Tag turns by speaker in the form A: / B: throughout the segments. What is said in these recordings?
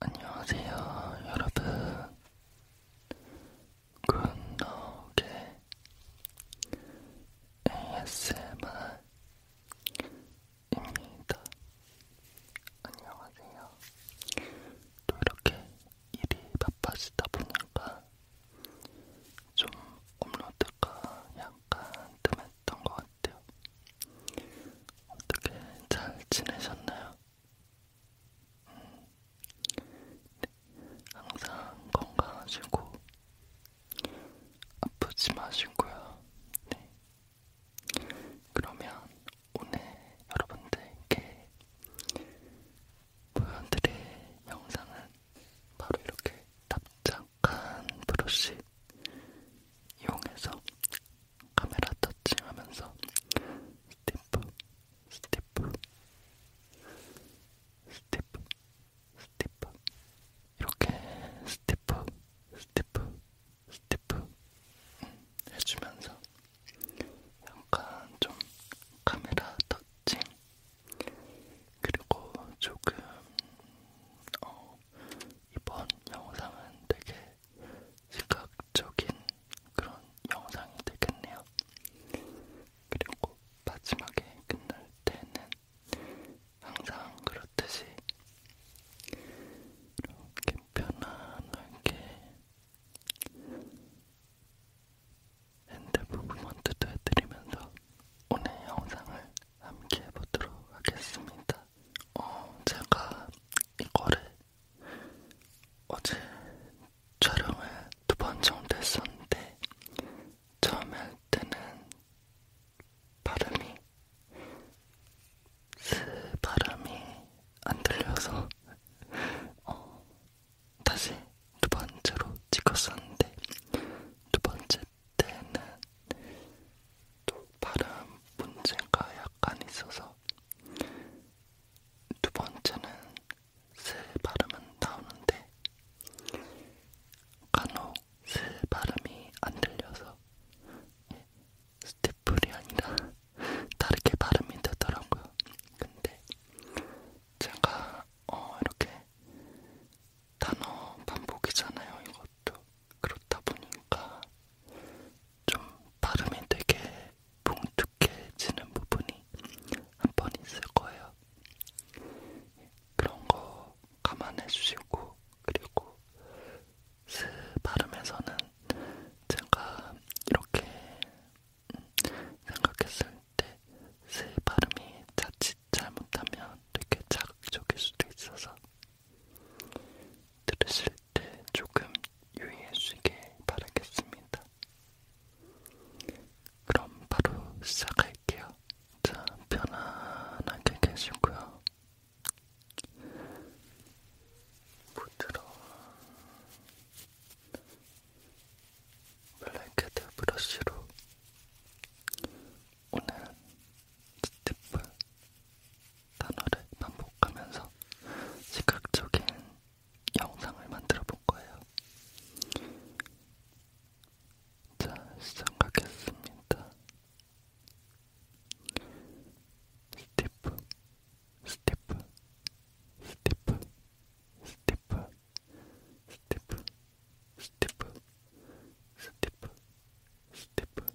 A: 안녕하세요, 여러분. 굿노게 ASMR입니다. 안녕하세요. 또 이렇게 일이 바빠지다 보니까 좀 업로드가 약간 뜸했던 것 같아요. 어떻게 잘 지내셨나요? 항상 건강하시고 아프지 마시고요. 네. 그러면 오늘 여러분들께 보여드릴 영상은 바로 이렇게 납작한 브러쉬 이용해서 카메라 터치하면서 스티프 스티프 스티프 스티프 이렇게 스티프 스티프 스티프 음, 해주면서 약간 좀 카메라 터치 그리고 조금 어 이번 영상은 되게 시각적인 그런 영상이 되겠네요. 그리고 마지막에 끝날 때는 항상 그렇듯이 이렇게 편안하게 핸드 무브먼트도 해드리면서 오늘 영상을 함께 해보도록 하겠습니다. 어, 제가 이거를 어제 촬영을 두 번 정도 했었는데 처음에 할 때는 발음이 스 발음이 안 들려서 어, 다시 두 번째로 찍었었는데 두 번째 때는 또 발음 문제가 약간 있어서 두 번째는 새 발음은 나오는데 간혹 새 발음이 안 들려서 예, 스티플이 아니라 다르게 발음이 되더라고요. 근데 제가 어 이렇게 단어 반복이잖아요. 이것도 그렇다 보니까 좀 발음이 되게 뭉툭해지는 부분이 한 번 있을 거예요. 그런 거 감안해 주시고, 그리고 스 발음에서는 제가 이렇게 생각했을 때 스 발음이 자칫 잘못하면 되게 자극적일 수도 있어서 들으실 때 조금 유의해주시길 바라겠습니다. 그럼 바로 시작할게요. 자, 편안하게 계시고요. 부드러운 블랙헤드 브러쉬로 오늘 스티플 단어를 반복하면서 시각적인 영상을 만들어 볼 거예요. 자, 시작하겠습니다. 스티프, 스티프, 스티프, 스티프, 스티프, 스티프, 스티프, 스티프, 스티프, 스티프,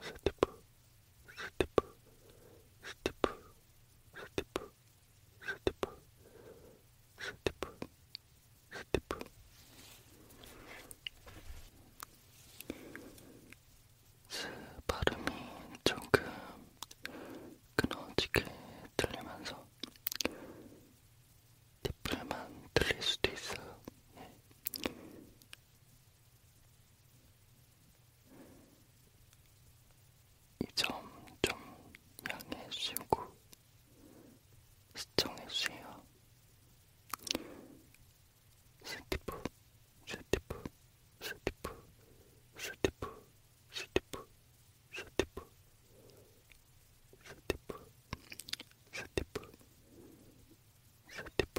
A: 스티프 스티프 스티프 스티프 스티프 스티프 스티프 스 발음이 조금 끊어지게 들리면서 뒷불만 들릴 수도 있어요. 예. 이점좀 양해해 주시고 시청해 주세요. 스티프, 스티프, 스티프, 스티프, 스티프, 스티프, 스티프, 스티프, 스티프, 스티프,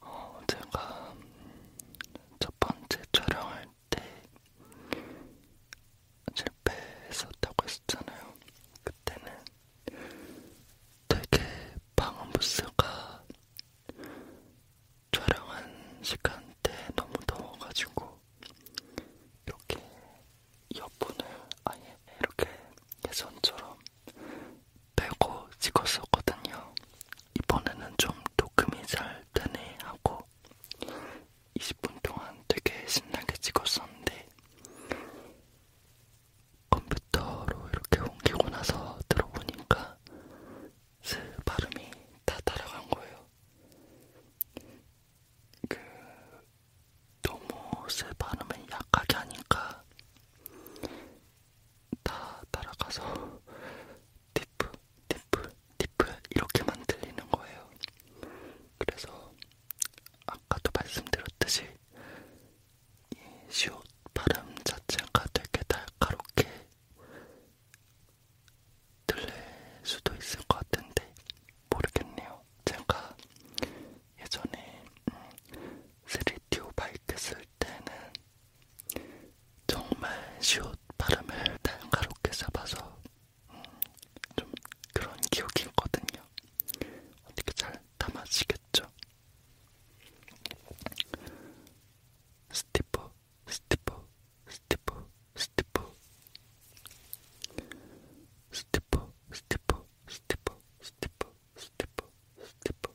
A: 어, 제가 첫 번째 촬영할 때 실패했었다고 했었잖아요. 그때는 되게 방음부스가 촬영한 시간대 너무 더워가지고 이렇게 이어폰을 아예 이렇게 예전처럼 빼고 찍었었거든요. 이번에는 좀 녹음이 잘 되네 하고 20분 동안 되게 신나게 찍었었는데 컴퓨터로 이렇게 옮기고 나서 들어보니까 스 발음이 다 따라간 거예요. 그 너무 스 발음을 약하게 하니까 다 따라가서 디프 디프 디프 이렇게만 들리는 거예요. 그래서 아까도 말씀드렸듯이 이 시옷 발음 자체가 되게 날카롭게 들릴 수도 있을 것 같은데 모르겠네요. 제가 예전에 음, 3DO 바이크 쓸 때는 정말 쉬운 발음을 날카롭게 잡아서 음, 좀 그런 기억이 있거든요. 어떻게 잘 담아지겠죠? 스티프, 스티프, 스티프, 스티프, 스티프, 스티프, 스티프, 스티프, 스티프, 스티프,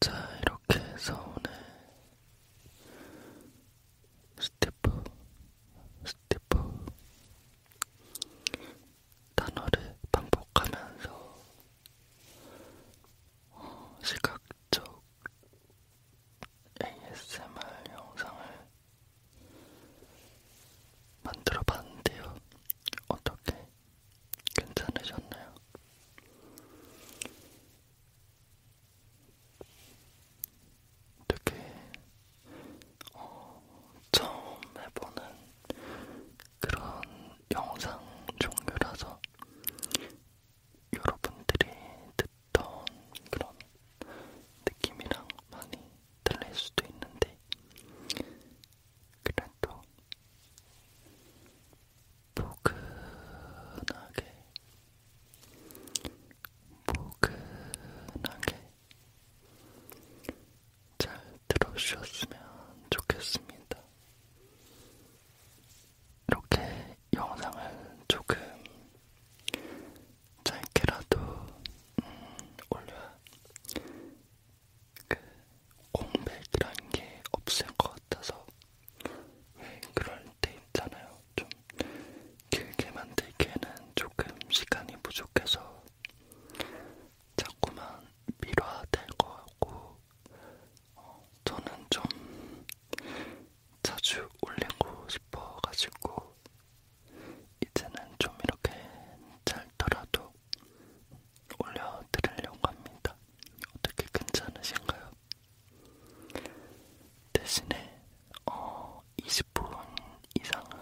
A: 자, 이렇게 해서 오늘 스티프, 스티프 단어를 반복하면서 어, 시각적 ASMR 영상을 만들어 봤는데요. 어떻게 괜찮으셨나요? 되게 어, 처음 해보는 그런 영상 종류라서 여러분들이 듣던 그런 느낌이랑 많이 달릴 수도 있는데 그래도 포근하게 포근하게 잘 들어주셨으면 좋겠습니다. 이렇게 영상을 조금 짧게라도 음, 올려야 그 공백이란 게 없을 것 같아서 왜 그럴 때 있잖아요. 좀 길게 만들기에는 조금 시간이 부족해서 자꾸만 미뤄야 될거 같고 어, 저는 좀 자주 올리고 싶어가지고 이제는 좀 이렇게 짧더라도 올려드리려고 합니다. 어떻게 괜찮으신가요? 대신에 어, 20분 이상은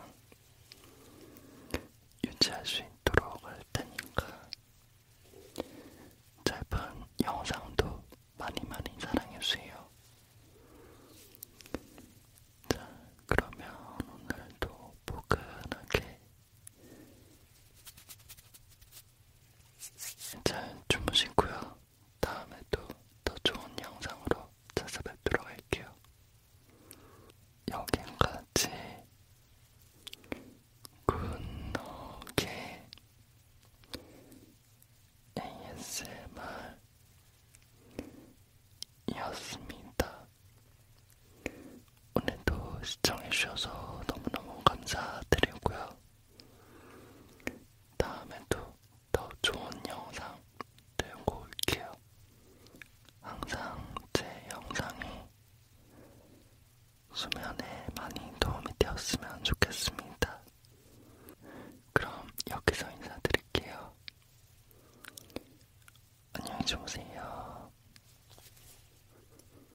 A: 유지할 수 있도록 할 테니까 짧은 영상도 많이 많이 사랑해주세요. 자, 그러면 오늘도 포근하게 잘 주무시고요. 다음에도 더 좋은 영상으로 찾아뵙도록 할게요. 여기까지 굿노게 ASMR이었습니다. 오늘도 시청해주셔서 너무너무 감사드리고요. 다음에도 더 좋은 영상 들고 올게요. 항상 제 영상이 수면에 많이 도움이 되었으면 좋겠습니다. 그럼 여기서 인사드릴게요. 안녕히 주무세요.